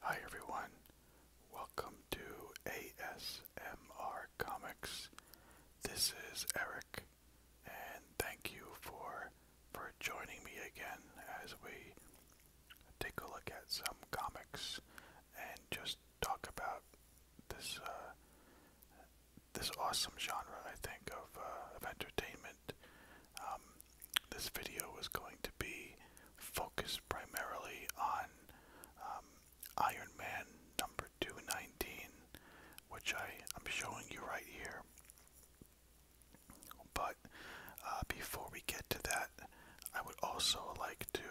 Hi everyone, welcome to ASMR Comics. This is Eric, and thank you for for joining me again as we take a look at some comics and just talk about this uh, this awesome genre, I think, of uh, of entertainment um, this video is going to be focused primarily on um, Iron Man number 219, which I, am showing you right here. But uh, before we get to that, I would also like to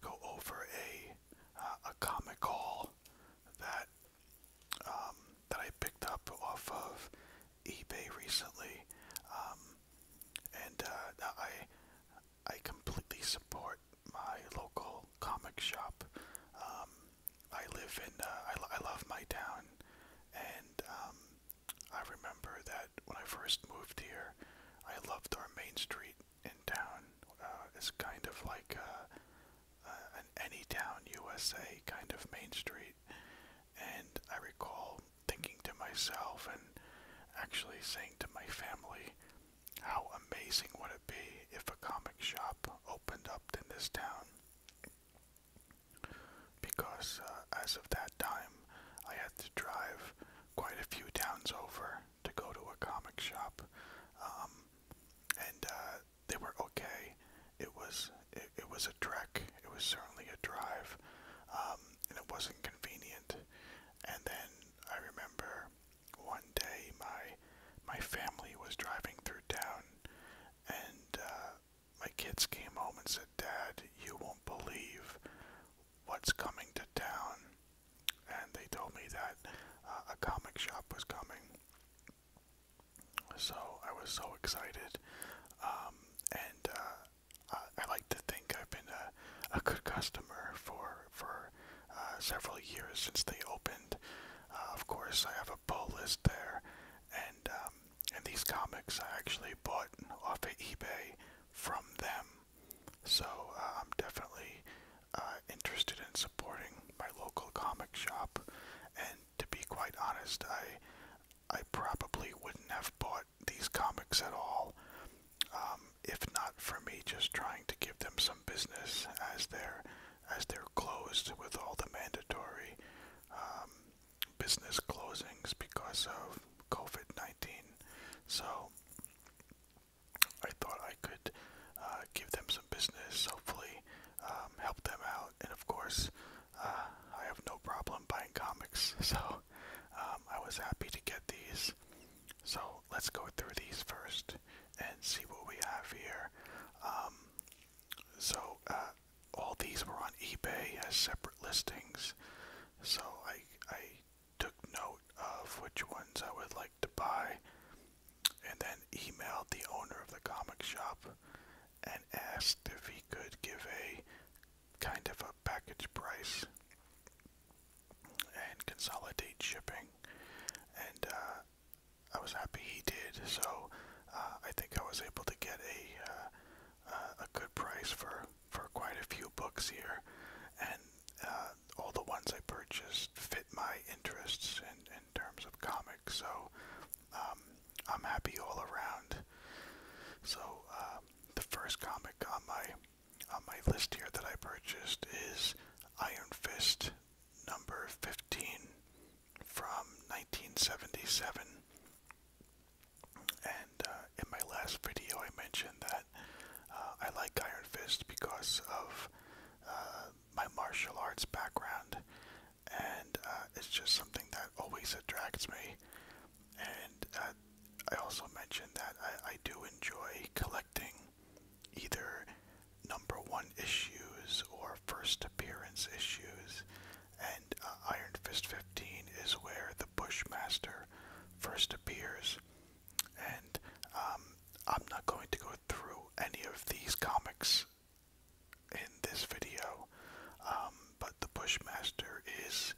go over a uh, a comic haul that um, that I picked up off of eBay recently, um, and uh, I I completely support my local comic shop. Um, I live in uh, I, I love my town, and um, I remember that when I first moved here, I loved our main street in town. Uh, it's kind of like uh, an any town USA kind of main street, and I recall thinking to myself and actually saying to my family, how amazing would it be if a comic shop opened up in this town? Because uh, as of that time, I had to drive quite a few towns over to go to a comic shop. Um, and uh, they were okay it was it, was a trek. It was certainly a drive, um, and it wasn't convenient. And then I remember one day my my family was driving through town, and uh, my kids came home and said, "Dad, you won't believe what's coming to town." And they told me that uh, a comic shop was coming. So I was so excited, um, and uh, I, I like to think I've been a, a good customer for for uh, several years since they opened. Uh, of course, I have a pull list there, and um, and these comics I actually bought off of eBay from them. So uh, I'm definitely uh, interested in supporting my local comic shop, and to be quite honest, I I probably wouldn't have bought these comics at all um, if not for me just trying to give them some business as they're as they're closed with all the mandatory um, business closings because of COVID-19. So I thought I could uh, give them some business, hopefully um, help them out, and of course uh, I have no problem buying comics, so um, I was happy to get these. So let's go through these first and see what we have here. Um, so uh, all these were on eBay as separate listings. So I I took note of which ones I would like to buy, and then emailed the owner of the comic shop, and asked if he could give a kind of a package price and consolidate shipping. And uh, I was happy he did, so uh, I think I was able to get a uh, a good price for for quite a few books here, and all the ones I purchased fit my interests in in terms of comics. So um, I'm happy all around. So um, the first comic on my on my list here that I purchased is Iron Fist number 15 from 1977. And uh, in my last video, I mentioned that uh, I like Iron Fist because of uh, my martial arts background and uh, it's just something that always attracts me. And uh, I also mentioned that I, I do enjoy collecting either number one issues or first appearance issues, and uh, Iron Fist 15 is where the Bushmaster first appears. And um, I'm not going to go through any of these comics in this video, um, but the Bushmaster is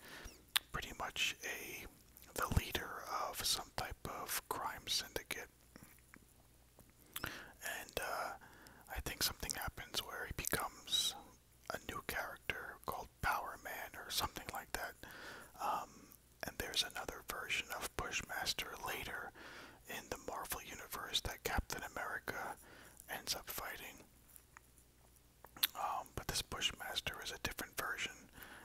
pretty much a the leader of some type of crime syndicate, and uh, I think something happens where he becomes a new character called Power Man or something like that. Um, and there's another version of Bushmaster later in the Marvel Universe that Captain America ends up fighting. Um, but this Bushmaster is a different version,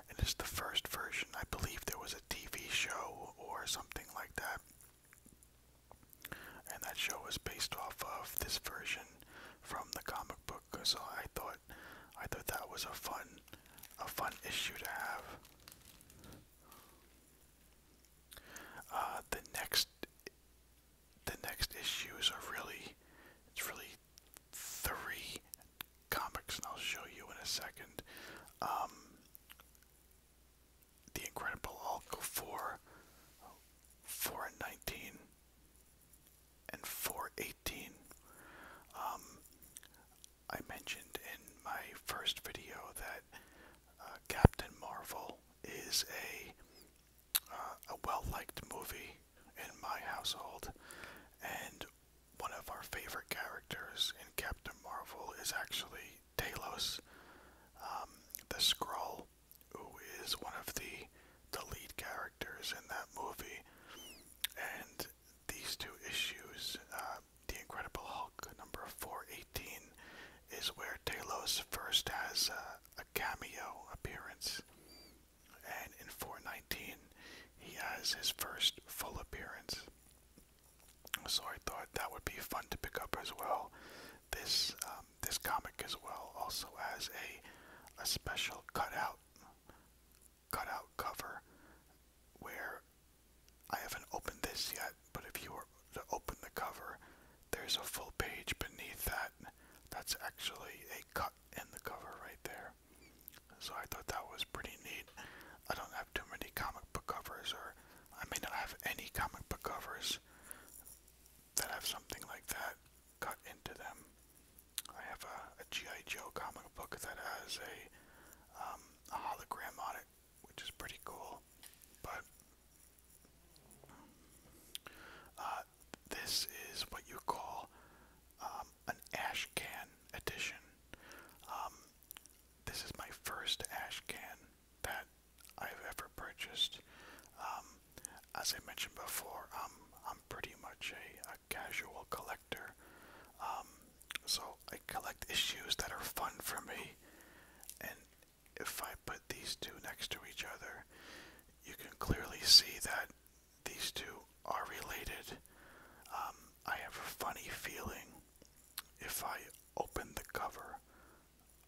and it's the first version. I believe there was a TV show or something like that. And that show was based off of this version from the comic book, so I thought I thought that was a fun a fun issue to have. Uh, the next, the next issues are really, it's really three comics, and I'll show you in a second. Um, the Incredible Hulk four, four and nineteen, and four eighteen. Um, I mentioned in my first video that uh, Captain Marvel is a uh, a well-liked movie in my household, and one of our favorite characters in Captain Marvel is actually Talos, um, the Skrull, who is one of the the lead characters in that movie. And these two issues, uh, The Incredible Hulk number 418 is where Talos first has uh, a, cameo appearance. And in 419, he has his first full appearance. So I thought that would be fun to pick up as well. This um, this comic as well also has a a special cutout cutout cover where I haven't opened this yet, but if you were to open the cover, there's a full page beneath that. That's actually a cut in the cover right there. So I thought that was pretty neat. I don't have too many comic book covers, or I may not have any comic book covers that have something like that cut into them. I have a, G.I. Joe comic book that has a um, hologram on it which is pretty cool. But um, uh, this is what you call um, an ash edition. Um, this is my first ashcan that I've ever purchased. as I mentioned before, I'm I'm pretty much a, a casual collector. so I collect issues that are fun for me, and if I put these two next to each other, you can clearly see that these two are related. Um, I have a funny feeling if I open the cover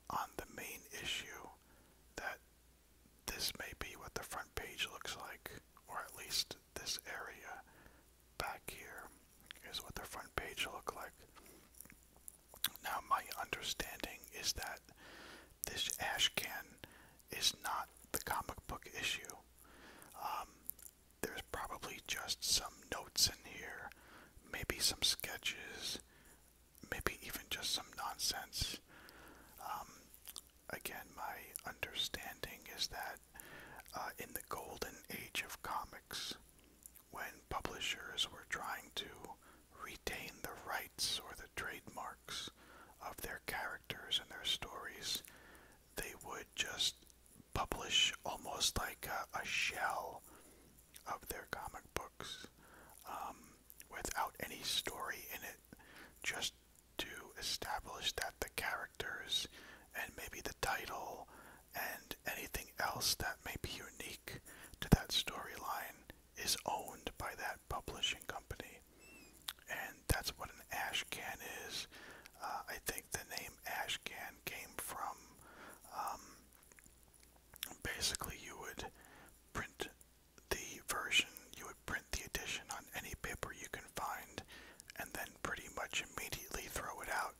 on the main issue that this may be what the front page looks like, or at least this area back here is what the front page look like. Now, my understanding is that this ash can is not the comic book issue. Um, there's probably just some notes in here, maybe some sketches, maybe even just some nonsense. Um, again, my understanding is that uh, in the golden age of comics, when publishers were trying to retain the rights or the trademarks of their characters and their stories, they would just publish almost like a, shell of their comic books um, without any story in it, just to establish that the characters and maybe the title and anything else that may be unique to that storyline is owned by that publishing company. And that's what an ash can is. Uh, I think the name ash can came from um, basically you would print the version, you would print the edition on any paper you can find, and then pretty much immediately throw it out.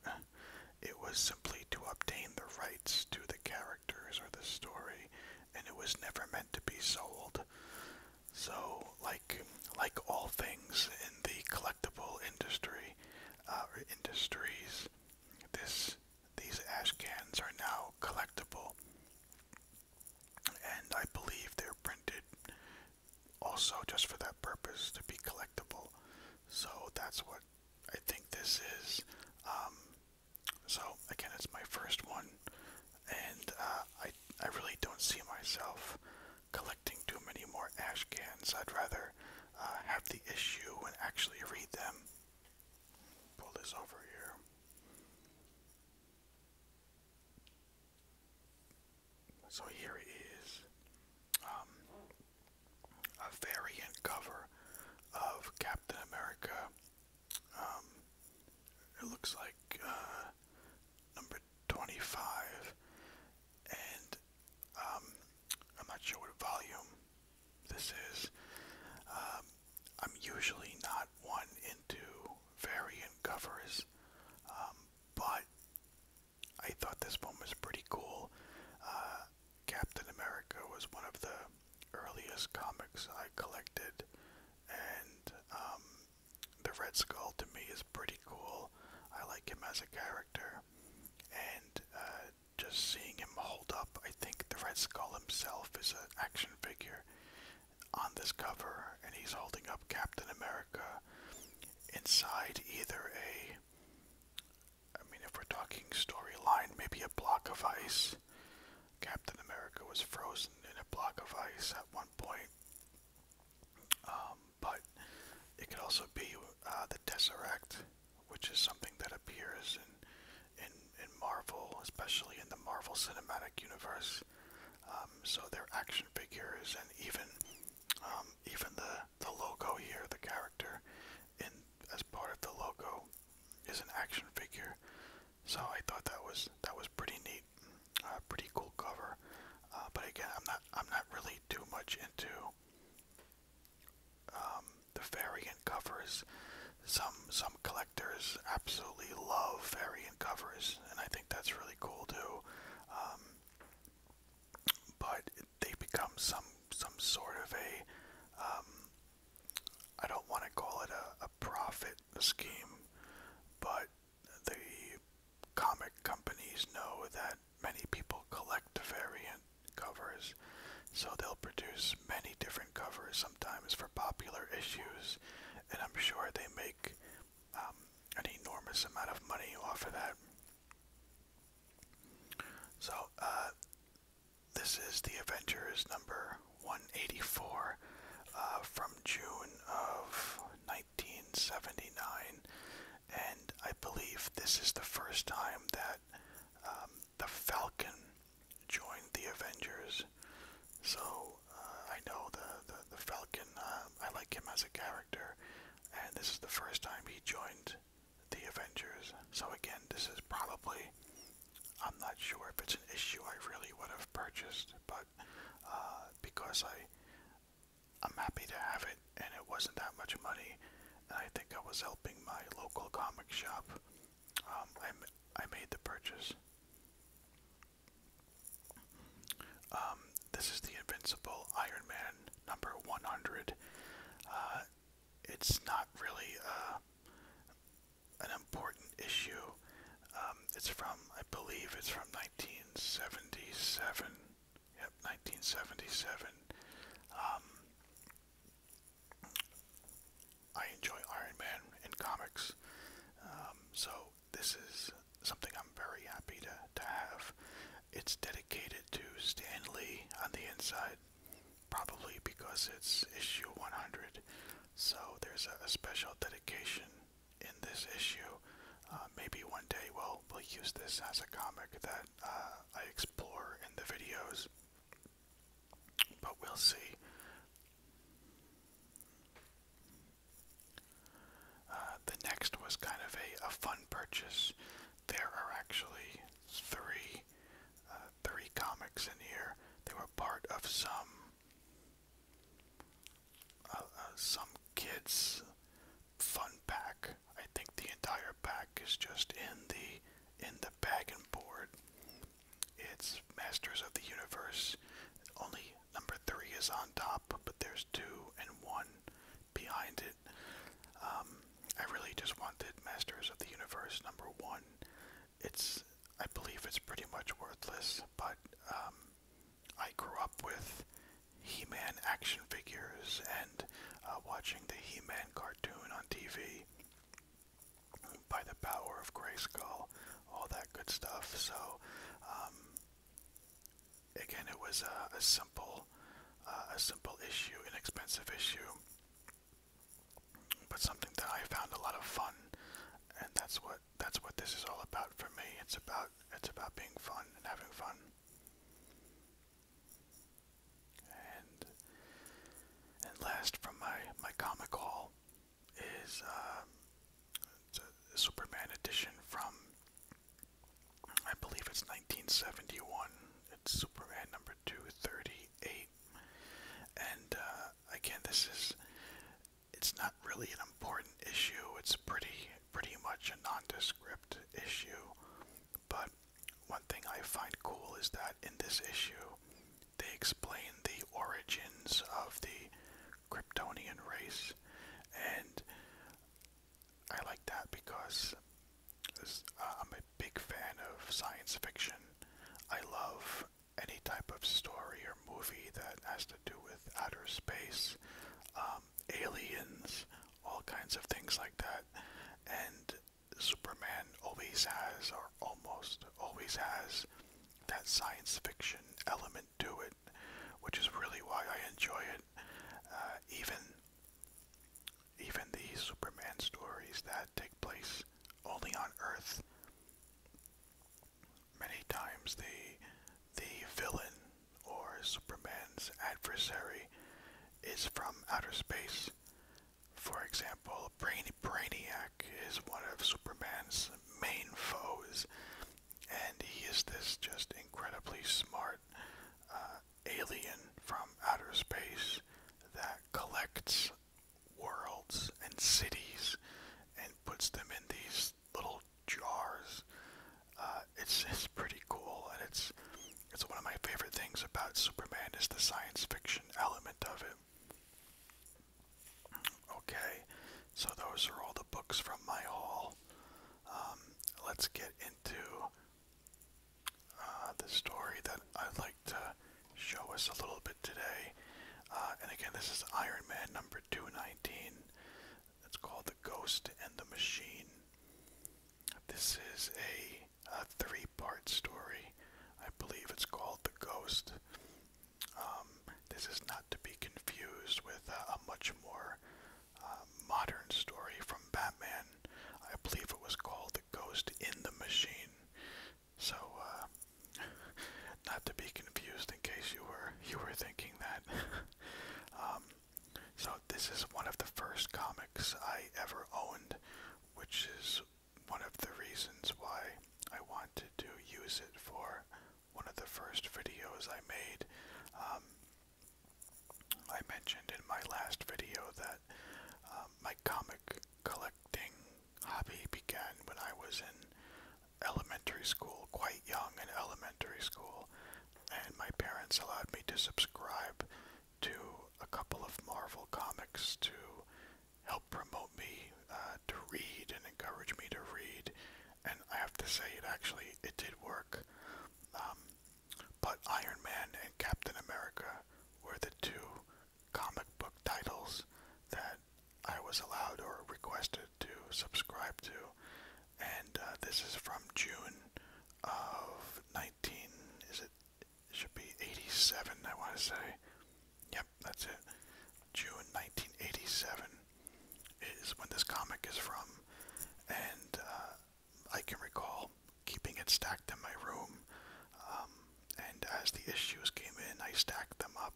It was simply to obtain the rights to the characters or the story, and it was never meant to be sold. So, like like all things in the collectible industry, uh, industries, this these ash cans are now collectible, and I believe they're printed also just for that purpose to be collectible. So that's what. I think this is. Um, so again, it's my first one, and uh, I I really don't see myself collecting too many more ash cans. I'd rather uh, have the issue and actually read them. Pull this over here. So here it is. Um, a variant cover of Captain America. Um, it looks like uh, number 25, and um, I'm not sure what volume this is. I'm usually not one into variant covers, but I thought this one was pretty cool. Uh, Captain America was one of the earliest comics I collected, and um, the Red Skull to me is pretty cool. I like him as a character, and uh, just seeing him hold up, I think the Red Skull himself is an action figure on this cover, and he's holding up Captain America inside either a I mean, if we're talking storyline, maybe a block of ice. Captain America was frozen in a block of ice at one point. Um, but it could also be uh, the Tesseract, which is something that appears in, in, in Marvel, especially in the Marvel Cinematic Universe. Um, so their action figures and even um, even the the logo here, the character, in as part of the logo, is an action figure. So I thought that was that was pretty neat, uh, pretty cool cover. Uh, but again, I'm not I'm not really too much into um, the variant covers. Some some collectors absolutely love variant covers, and I think that's really cool too. Um, but they become some some sort of a um, I don't want to call it a, a profit scheme, but the comic companies know that many people collect variant covers, so they'll produce many different covers sometimes for popular issues, and I'm sure they make um, an enormous amount of money off of that. So, uh, this is the Avengers number 184 uh, from June of 1979, and I believe this is the first time that um, the Falcon joined the Avengers. So, uh, I know the, the, Falcon, I like him as a character character, and this is the first time he joined the Avengers. So again, this is probably, I'm not sure if it's an issue I really would have purchased, but uh, because I, I'm happy to have it, and it wasn't that much money, and I think I was helping my local comic shop, um, I, I made the purchase. Um, this is the Invincible Iron Man number 100. Uh, it's not really uh, an important issue. Um, it's from, I believe, it's from 1977. Yep, 1977. Um, I enjoy Iron Man in comics, um, so this is something I'm very happy to, to have. It's dedicated to Stan Lee on the inside, probably because it's issue 100. So there's a, special dedication in this issue. Uh, maybe one day we'll, we'll use this as a comic that uh, I explore in the videos, but we'll see. Uh, the next was kind of a, fun purchase. There are actually three, uh, three comics in here. They were part of some, uh, some kids' fun pack. I think the entire pack is just in the in the bag and board. It's Masters of the Universe. Only number three is on top, but there's two and one behind it. Um, I really just wanted Masters of the Universe number one. It's, I believe, it's pretty much worthless, but um, I grew up with He-Man action figures and uh, watching the He-Man cartoon on TV by the power of Grayskull, all that good stuff. So um, again, it was a simple, uh, a simple issue, inexpensive issue, but something that I found a lot of fun, and that's what that's what this is all about for me. It's about it's about being fun and having fun. And and last from my my comic haul is uh, a Superman edition from I believe it's 1971. It's Superman number 238. And uh, again, this is it's not really an important issue. It's pretty pretty much a nondescript issue. But one thing I find cool is that in this issue, they explain the origins of the Kryptonian race and I like that because uh, I'm a big fan of science fiction. I love any type of story or movie that has to do with outer space, um, aliens, all kinds of things like that. And Superman always has, or almost always has, that science fiction element do it, which is really why I enjoy it. Uh, even even the Superman stories that take place only on Earth. Many times the the villain or Superman's adversary is from outer space. For example, Brain Brainiac is one of Superman's main foes and he is this just incredibly smart uh, alien from outer space that collects worlds and cities and puts them in these little jars. Uh, it's it's pretty cool, and it's it's one of my favorite things about Superman is the science fiction element of it. Okay, so those are all the books from my haul. Um, let's get into uh, the story that I'd like to show us a little bit today. Uh, and again, this is Iron Man number 219. It's called The Ghost and the Machine. This is a, three part story. I believe it's called The Ghost. Um, this is not to be confused with uh, a much more uh, modern story from Batman. I believe it was called The Ghost in the Machine. So, uh, not to be confused in case you were you were thinking that. um, so this is one of the first comics I ever owned, which is one of the reasons why I wanted to use it for one of the first videos I made. Um, I mentioned in my last video that um, my comic collecting hobby began when I was in elementary school, quite young in elementary school, and my parents allowed me to subscribe to a couple of Marvel comics to help promote me uh, to read encouraged me to read, and I have to say it actually it did work. Um, but Iron Man and Captain America were the two comic book titles that I was allowed or requested to subscribe to, and uh, this is from June of 19. Is it? It should be 87. I want to say. Yep, that's it. June 1987 is when this comic is from, and uh, I can recall keeping it stacked in my room. Um, and as the issues came in, I stacked them up.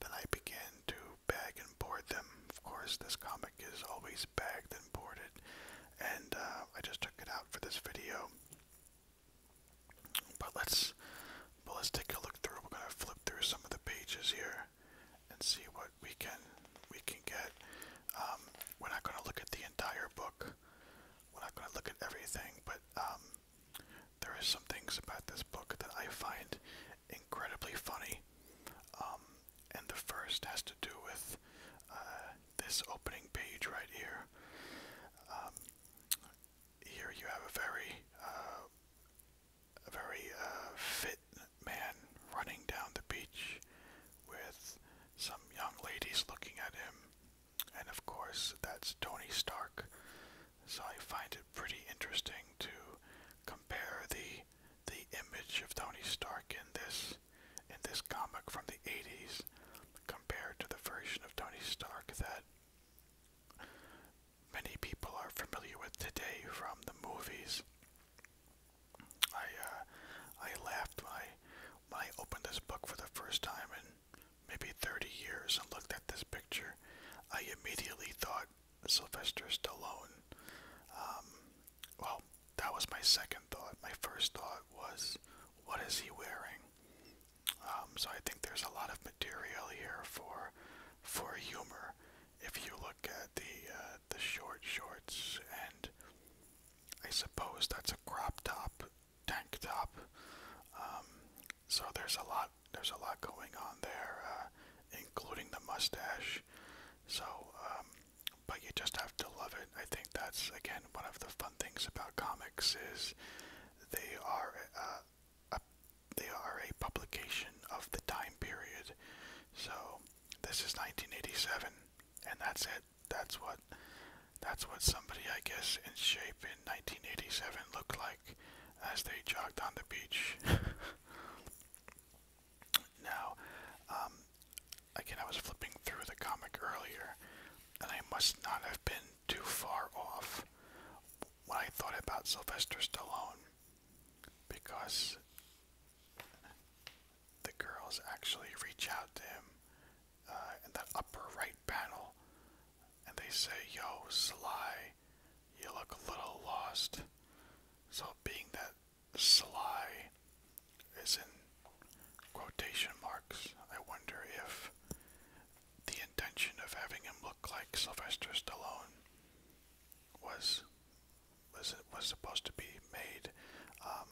Then I began to bag and board them. Of course, this comic is always bagged and boarded, and uh, I just took it out for this video. But let's, but let's take a look through. We're gonna flip through some of the pages here and see what we can we can get. Um, we're not going to look at the entire book. We're not going to look at everything, but um, there are some things about this book that I find incredibly funny. Um, and the first has to do with uh, this opening page right here. here you have a very uh, a very uh, fit man running down the beach with some young ladies looking at him. And of course, that's Tony Stark. So I find it pretty interesting to compare the the image of Tony Stark in this in this comic from the 80s compared to the version of Tony Stark that many people are familiar with today from the movies. I uh, I laughed when I when I opened this book for the first time in maybe 30 years and looked at this picture. I immediately thought Sylvester Stallone. Um, well, that was my second thought. My first thought was, what is he wearing? Um, so I think there's a lot of material here for for humor if you look at the uh, the short shorts and I suppose that's a crop top, tank top. Um, so there's a lot there's a lot going on there, uh, including the mustache. So, um, but you just have to love it. I think that's again one of the fun things about comics is they are uh, they are a publication of the time period. So this is 1987, and that's it. That's what that's what somebody I guess in shape in 1987 looked like as they jogged on the beach. now, um, again, I was flipping through the comic earlier, and I must not have been too far off when I thought about Sylvester Stallone because the girls actually reach out to him uh, in that upper right panel and they say, Yo, Sly, you look a little lost. So, being that Sly is in quotation marks, I wonder if the intention of having him look like Sylvester Stallone was was was supposed to be made. Um,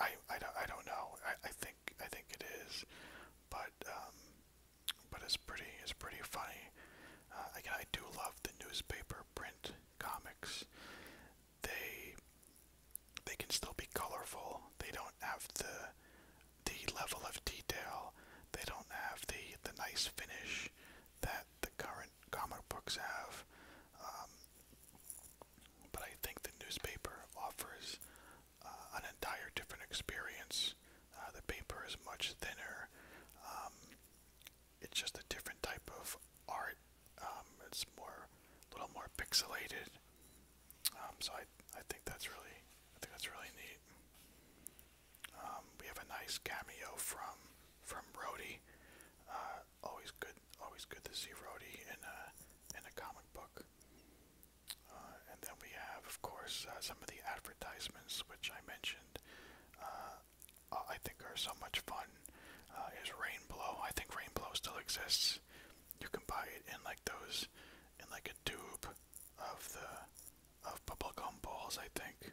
I, I, don't, I don't know. I, I think I think it is, but um, but it's pretty it's pretty funny. Uh, again, I do love the newspaper print comics. They they can still be colorful. They don't have the the level of detail. They don't have the the nice finish reach that the current comic books have. Um, but I think the newspaper offers uh, an entire different experience. Uh, the paper is much thinner. Um, it's just a different type of art. Um, it's more, a little more pixelated. Um, so I, I think that's really, I think that's really neat. Um, we have a nice cameo from from Rhodey. Uh, always good, always good to see Rhodey in a in a comic book. Uh, and then we have, of course, uh, some of the advertisements which I mentioned. I think are so much fun. is Rainbow? I think Rainbow still exists. You can buy it in like those, in like a tube, of the of bubblegum balls, I think.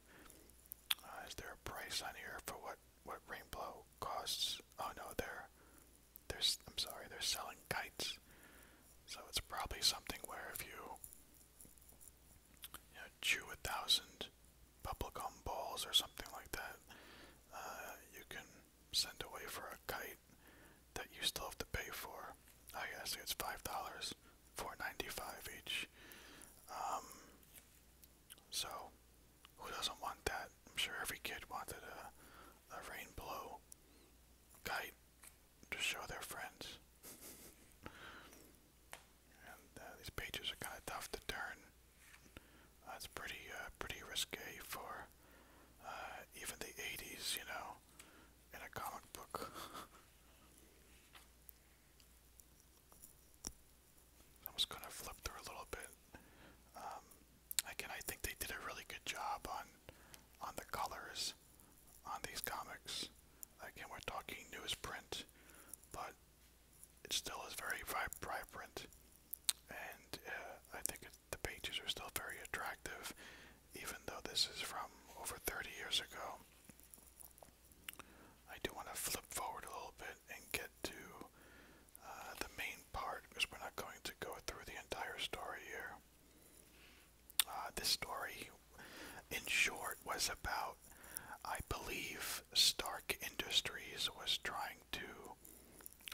Uh, is there a price on here for what what rainbow costs? Oh no, they're they I'm sorry, they're selling kites. So it's probably something where if you you know, chew a thousand bubblegum balls or something like that, uh, you can send away for a kite that you still have to pay for. I guess it's five dollars. 495 each. Um, so, who doesn't want that? I'm sure every kid wanted a, a rain blow kite to show their friends. and uh, these pages are kind of tough to turn. That's uh, pretty, uh, pretty risque for uh, even the 80s, you know in a comic book. I'm gonna flip through a little bit. Um, again, I think they did a really good job on on the colors on these comics. Again, we're talking newsprint, but it still is very vibrant, and uh, I think the pages are still very attractive, even though this is from over 30 years ago. I do want to flip forward a little bit and get to uh, the main part because we're not going to go through the entire story here. Uh, this story, in short, was about, I believe, Stark Industries was trying to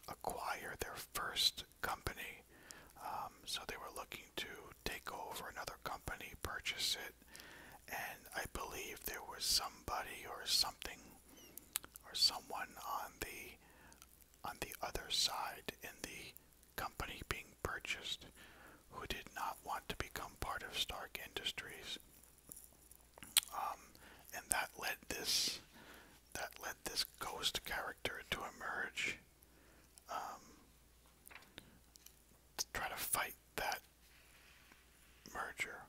acquire their first company. Um, um, so they were looking to take over another company, purchase it, and I believe there was somebody or something or someone on the on the other side in the company being purchased who did not want to become part of Stark Industries. Um, and that led this that led this ghost character to emerge. Um, trying to fight that merger.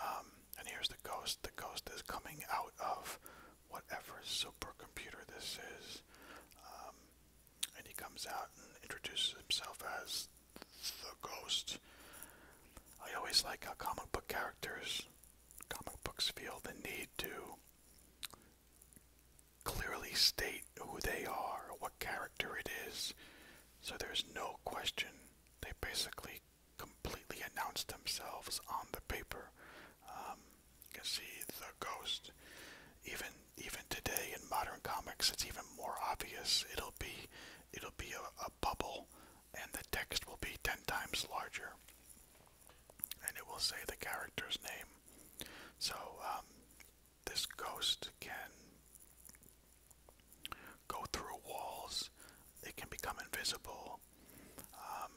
Um, and here's the ghost. The ghost is coming out of whatever supercomputer this is. Um, and he comes out and introduces himself as the ghost. I always like how comic book characters, comic books feel the need to clearly state who they are, what character it is, so there's no question. They basically completely announce themselves on the paper. Um, you can see the ghost. Even even today in modern comics, it's even more obvious. It'll be it'll be a, bubble, and the text will be ten times larger, and it will say the character's name. So um, this ghost can go through walls. It can become invisible. Um,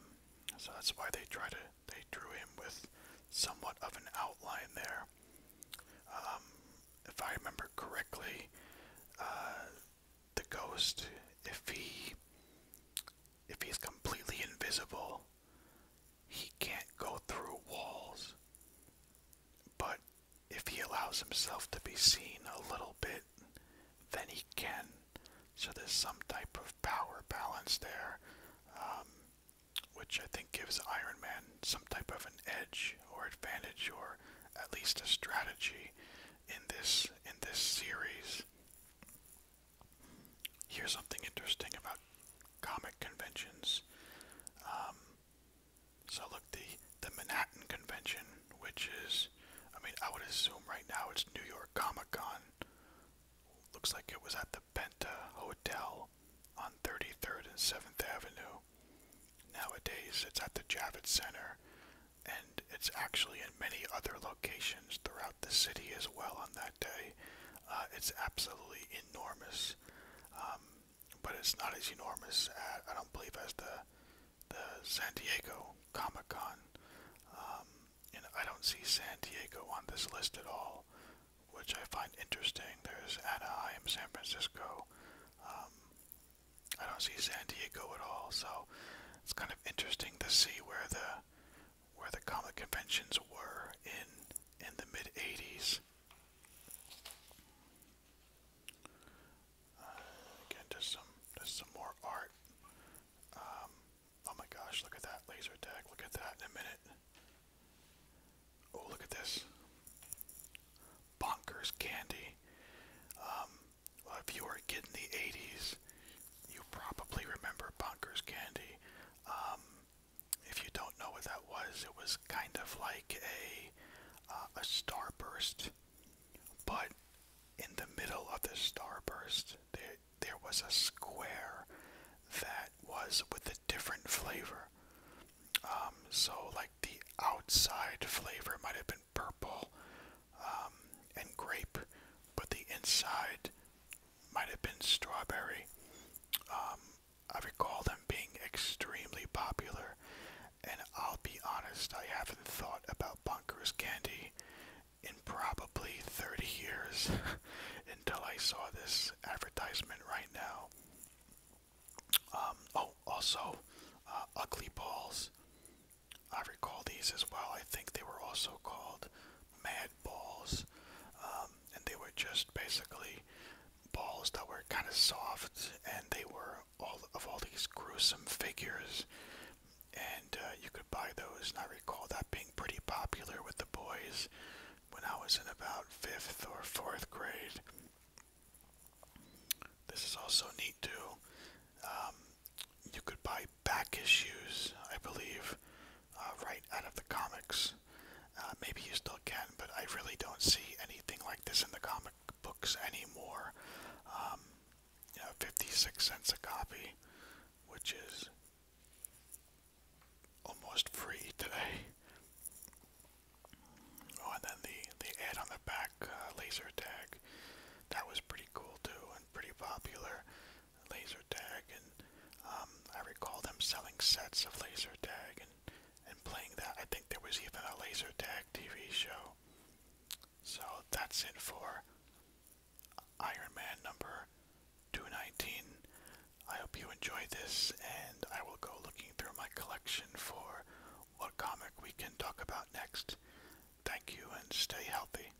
so that's why they try to they drew him with somewhat of an outline there. Um, if I remember correctly, uh, the ghost, if he if he's completely invisible, he can't go through walls. But if he allows himself to be seen a little bit, then he can. So there's some type of power balance there, um, which I think gives Iron Man some type of an edge or advantage, or at least a strategy in this in this series. Here's something interesting about comic conventions. Um, so look, the the Manhattan Convention, which is, I mean, I would assume right now it's New York Comic Con. Looks like it was at the Benta Hotel on 33rd and 7th Avenue. Nowadays, it's at the Javits Center, and it's actually in many other locations throughout the city as well on that day. Uh, it's absolutely enormous, um, but it's not as enormous, I don't believe, as the the San Diego Comic Con. Um, and I don't see San Diego on this list at all, which I find interesting. There's Anaheim, San Francisco. Um, I don't see San Diego at all, so it's kind of interesting to see where the where the comic conventions were in in the mid 80s. Uh, again, just some just some more art. Um, oh my gosh, look at that laser tag! Look at that in a minute. Oh, look at this. Bonkers candy. Um, if you were a the 80s, you probably remember Bonkers candy. Um, if you don't know what that was, it was kind of like a uh, a starburst, but in the middle of the starburst, there there was a square that was with a different flavor. Um, so like the outside flavor might have been purple um, and grape, but the inside might have been strawberry. Um, I recall them being extremely popular, and I'll be honest, I haven't thought about Bunker's candy in probably 30 years until I saw this advertisement right now. Um, oh, also, uh, Ugly Balls. I recall these as well. I think they were also called mad balls, um, and they were just basically balls that were kind of soft, and they were all of all these gruesome figures, and uh, you could buy those. And I recall that being pretty popular with the boys when I was in about fifth or fourth grade. This is also neat too. Um, you could buy back issues, I believe, uh, right out of the comics. Uh, maybe you still can, but I really don't see anything like this in the comic books anymore. Um, you know, 56 cents a copy, which is almost free today. Oh, and then the, the ad on the back, uh, laser tag, that was pretty cool too and pretty popular laser tag, and um, I recall them selling sets of laser tag and and playing that. I think there was even a laser tag TV show. So that's it for Iron Man number 219. I hope you enjoyed this, and I will go looking through my collection for what comic we can talk about next. Thank you, and stay healthy.